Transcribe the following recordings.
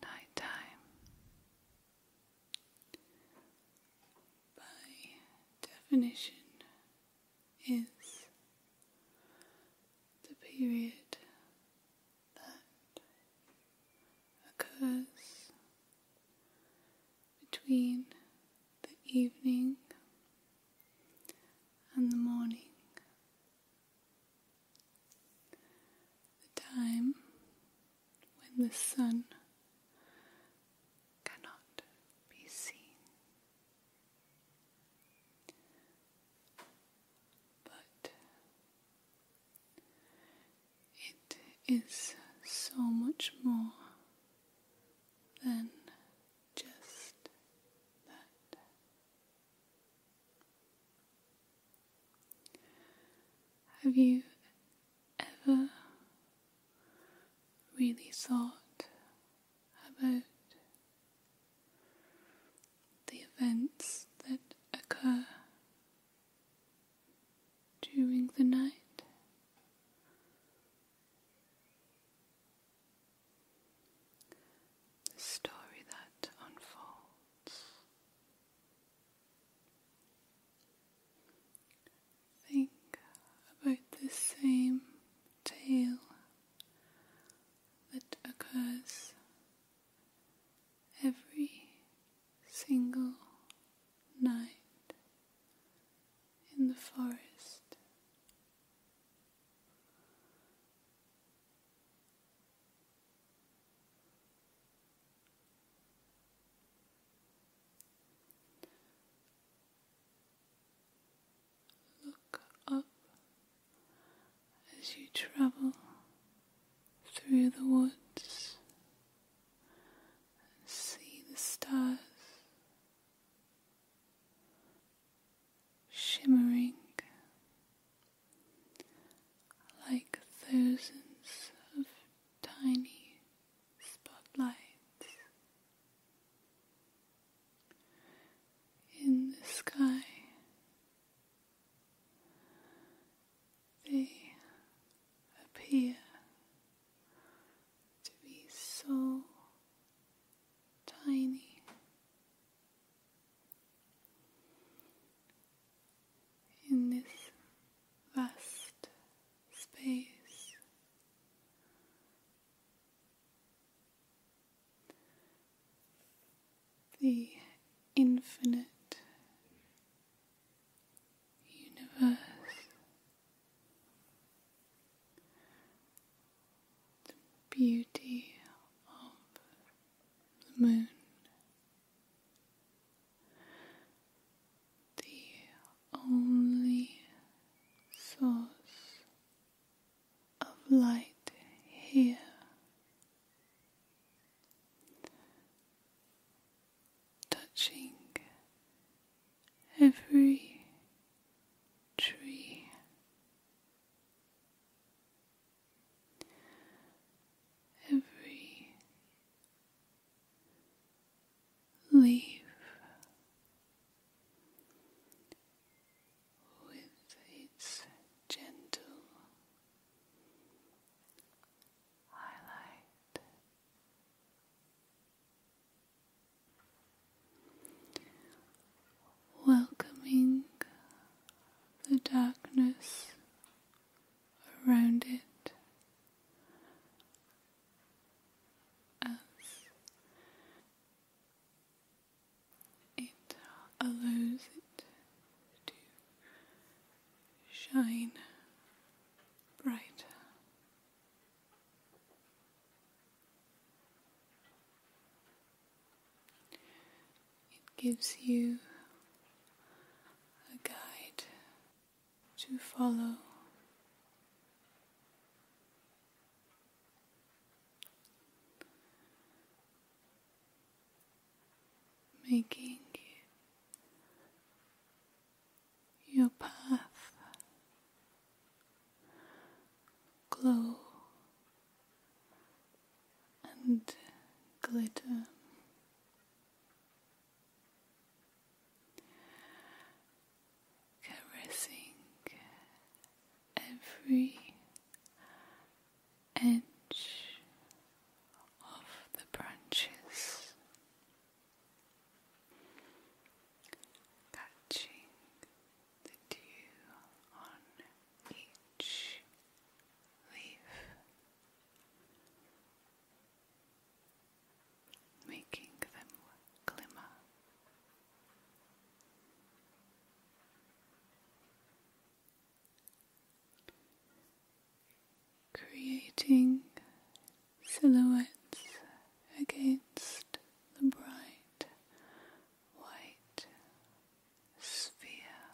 Night by definition is the period that occurs between the evening and the morning. The time when the sun cannot be seen, but it is so much more than just that. Have you ever really thought about the events that occur during the night? the story that unfolds. Think about the same tale that occurs every single night in the forest. Look up as you travel through the woods and see the stars shimmering like thousands of tiny spotlights in the sky. They appear to be so tiny. In this vast space, the infinite universe the beauty of the moon, the only source of light here. Touching every tree every leaf with its gentle highlight welcoming the darkness around it as it allows it to shine brighter. It gives you a guide to follow. Making your path glow and glitter. Caressing every edge of the branches, catching the dew on each leaf, making them glimmer. Creating silhouettes against the bright white sphere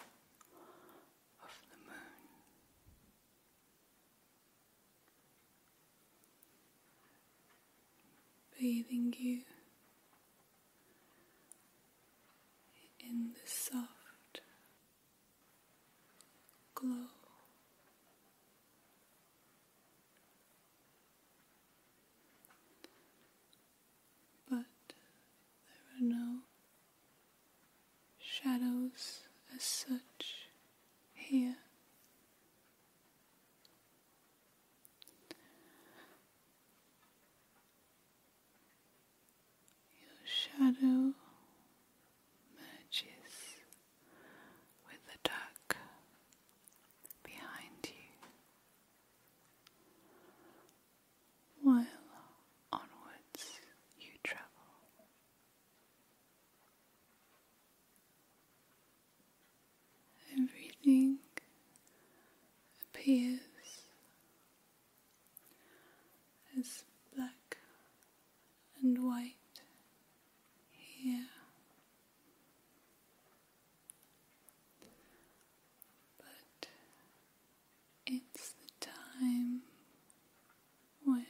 of the moon. Bathing you in the soft glow but there are no shadows as such here. Your shadow merges with the dark behind you while onwards you travel. Everything appears as black and white here but it's the time when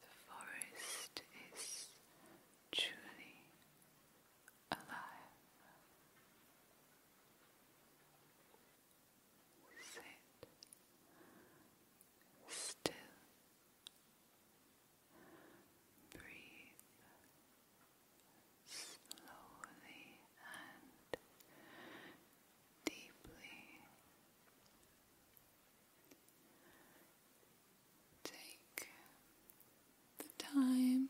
the forest is truly alive. Sit still. Breathe slowly and deeply. Take the time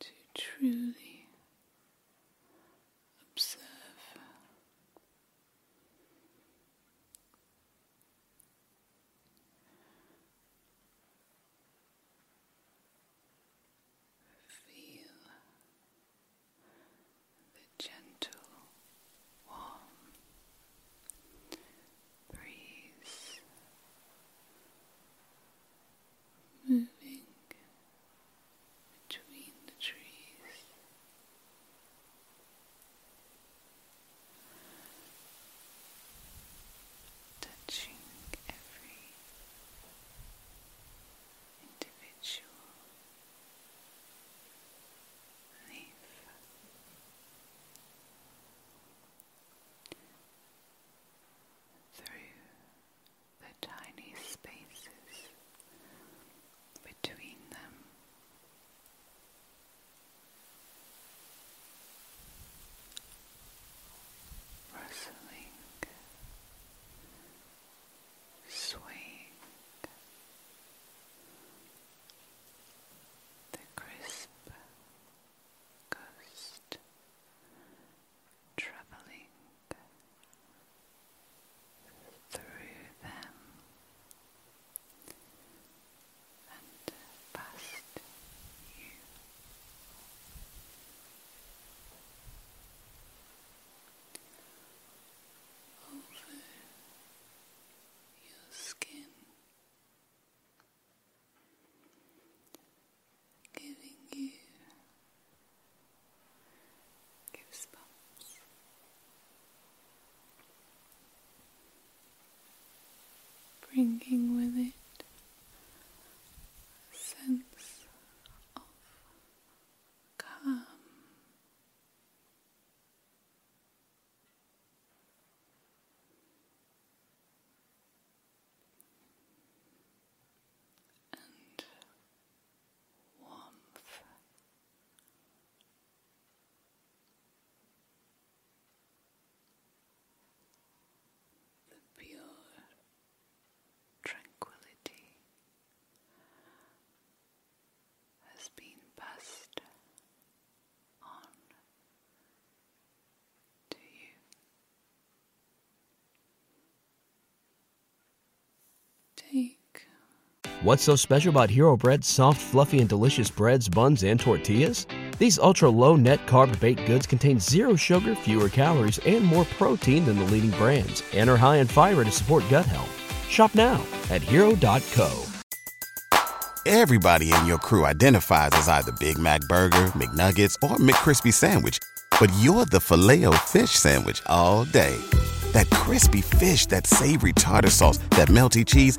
to truly observe Feel the gentle, warm breeze moving between the trees touching every individual leaf. Through the tiny spaces between them, rustling, swaying the crisp ghost traveling through them and past you. Over your skin, giving you goosebumps bringing with it a sense of calm. And warmth. Take What's so special about Hero Bread's soft, fluffy, and delicious breads, buns, and tortillas? These ultra low net carb baked goods contain zero sugar, fewer calories, and more protein than the leading brands, and are high in fiber to support gut health. Shop now at hero.co. Everybody in your crew identifies as either Big Mac Burger, McNuggets, or McCrispy Sandwich, but you're the filet fish Sandwich all day. That crispy fish, that savory tartar sauce, that melty cheese,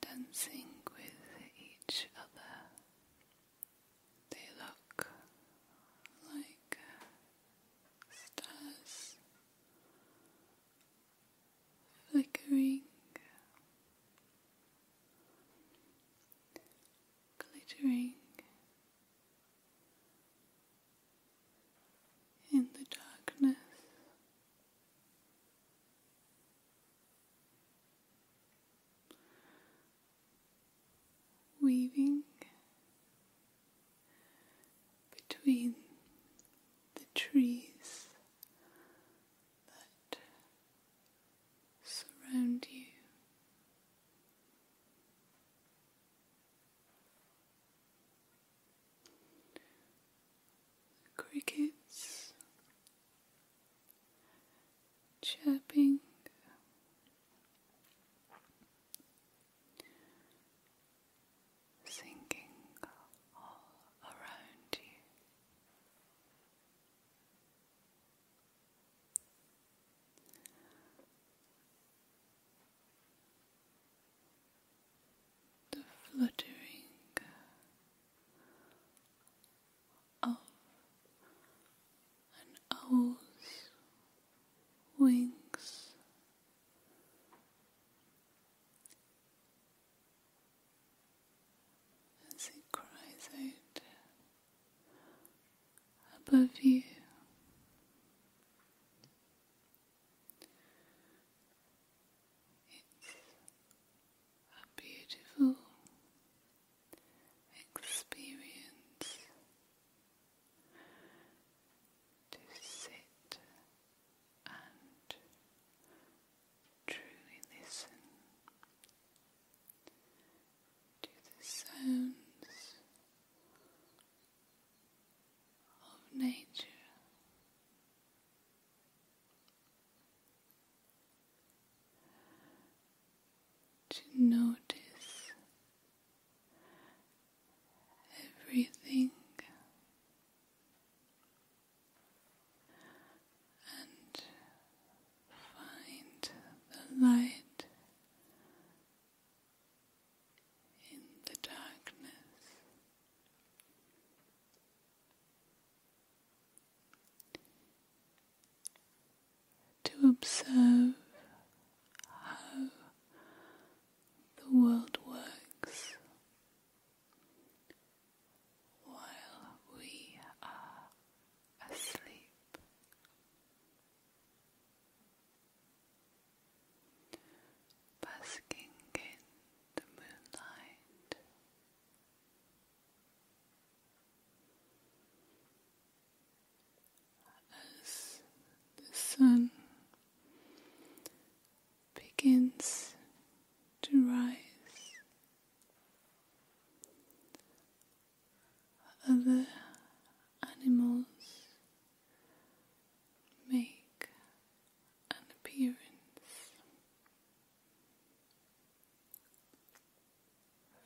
dancing with each other. They look like uh, stars flickering, glittering in the darkness weaving between the trees that surround you crickets chirping. Sinking all around you the fluttering of an owl's wings. As it cries out above you, it's a beautiful experience to sit and truly listen to the sounds of nature to notice everything and find the light in the darkness to observe how the world works while we are asleep basking in the moonlight. As the sun begins to rise, other animals make and appearance.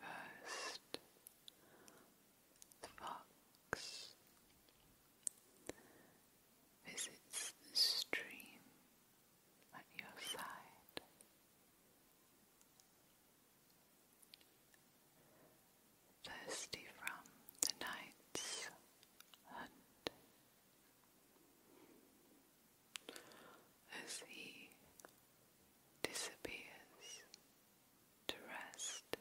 First, the fox visits the stream at your side. Thirsty from the night's hunt, as he disappears to rest.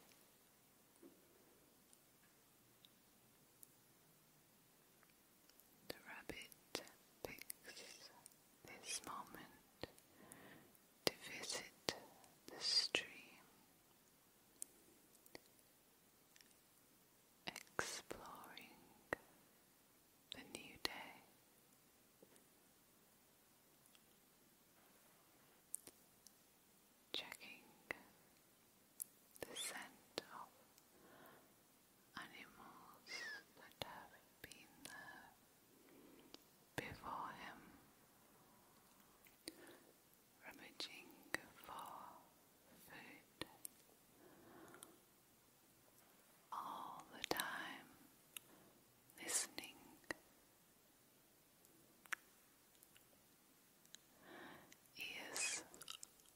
The rabbit picks this moment to visit the stream exploring the new day. Checking the scent of animals that have been before him, rummaging for food all the time listening. Ears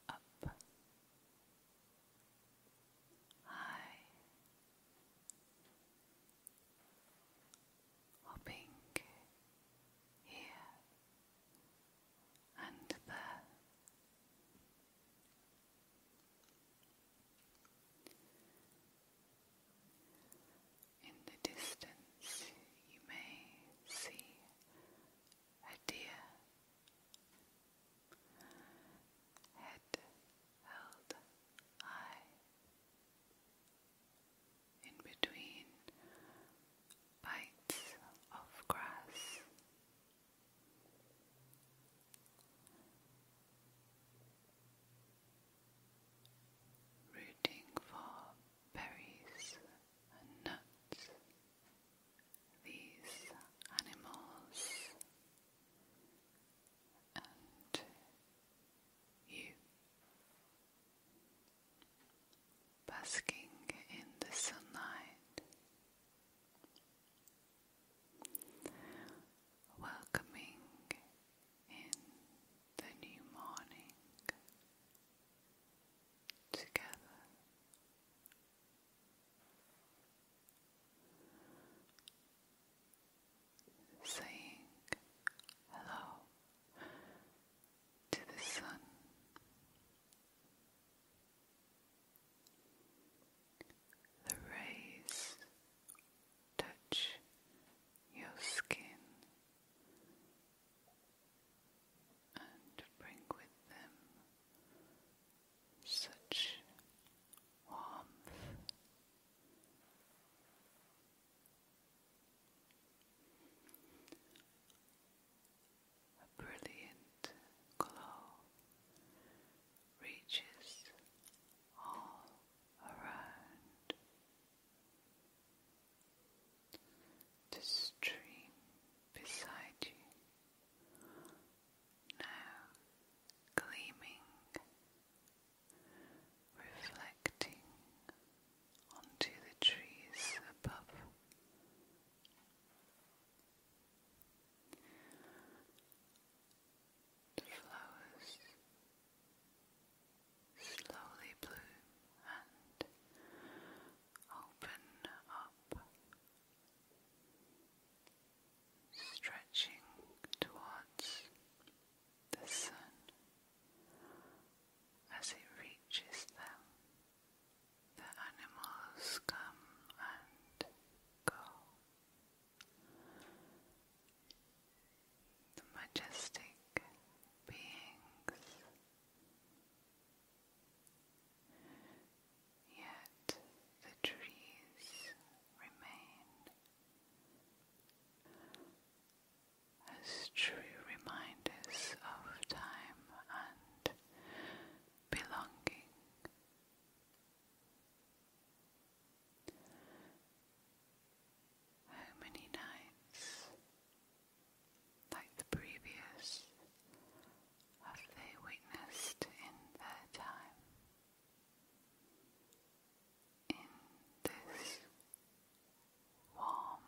up, high, hopping here and there. In the distance, you may see a deer, head held high. In between bites of grass, Rooting for berries and nuts, these animals, and you basking in the sunlight, welcoming in the new morning together. Saying hello to the sun the rays touch your skin and bring with them such warmth a brilliant glow reaches all around. The stream beside you now gleaming, reflecting onto the trees above. The flowers slowly bloom and open up, stretching towards the sun as it reaches them. The animals come and go. The majestic beings. Yet the trees remain as true reminders of time and belonging. How many nights, like the previous, have they witnessed in their time? In this warm,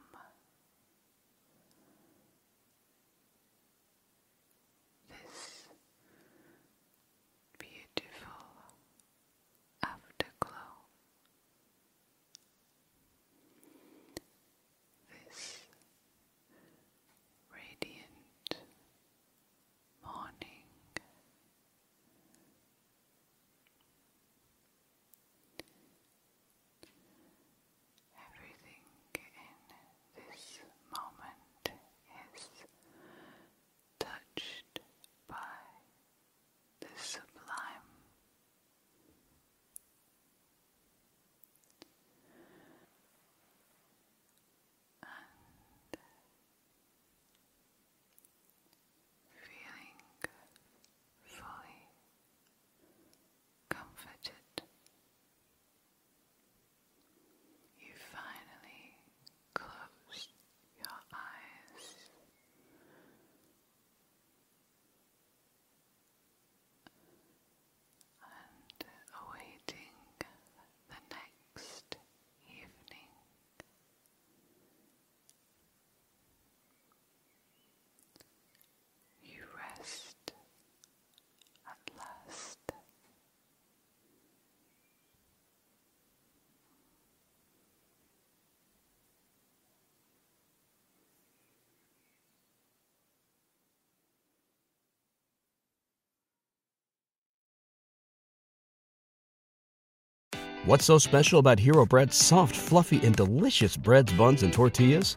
this beautiful afterglow, this radiant morning. Everything in this moment is touched by the sublime. And feeling fully comforted you finally closed your eyes. And awaiting the next evening, you rest at last What's so special about Hero Bread's soft, fluffy, and delicious breads, buns, and tortillas?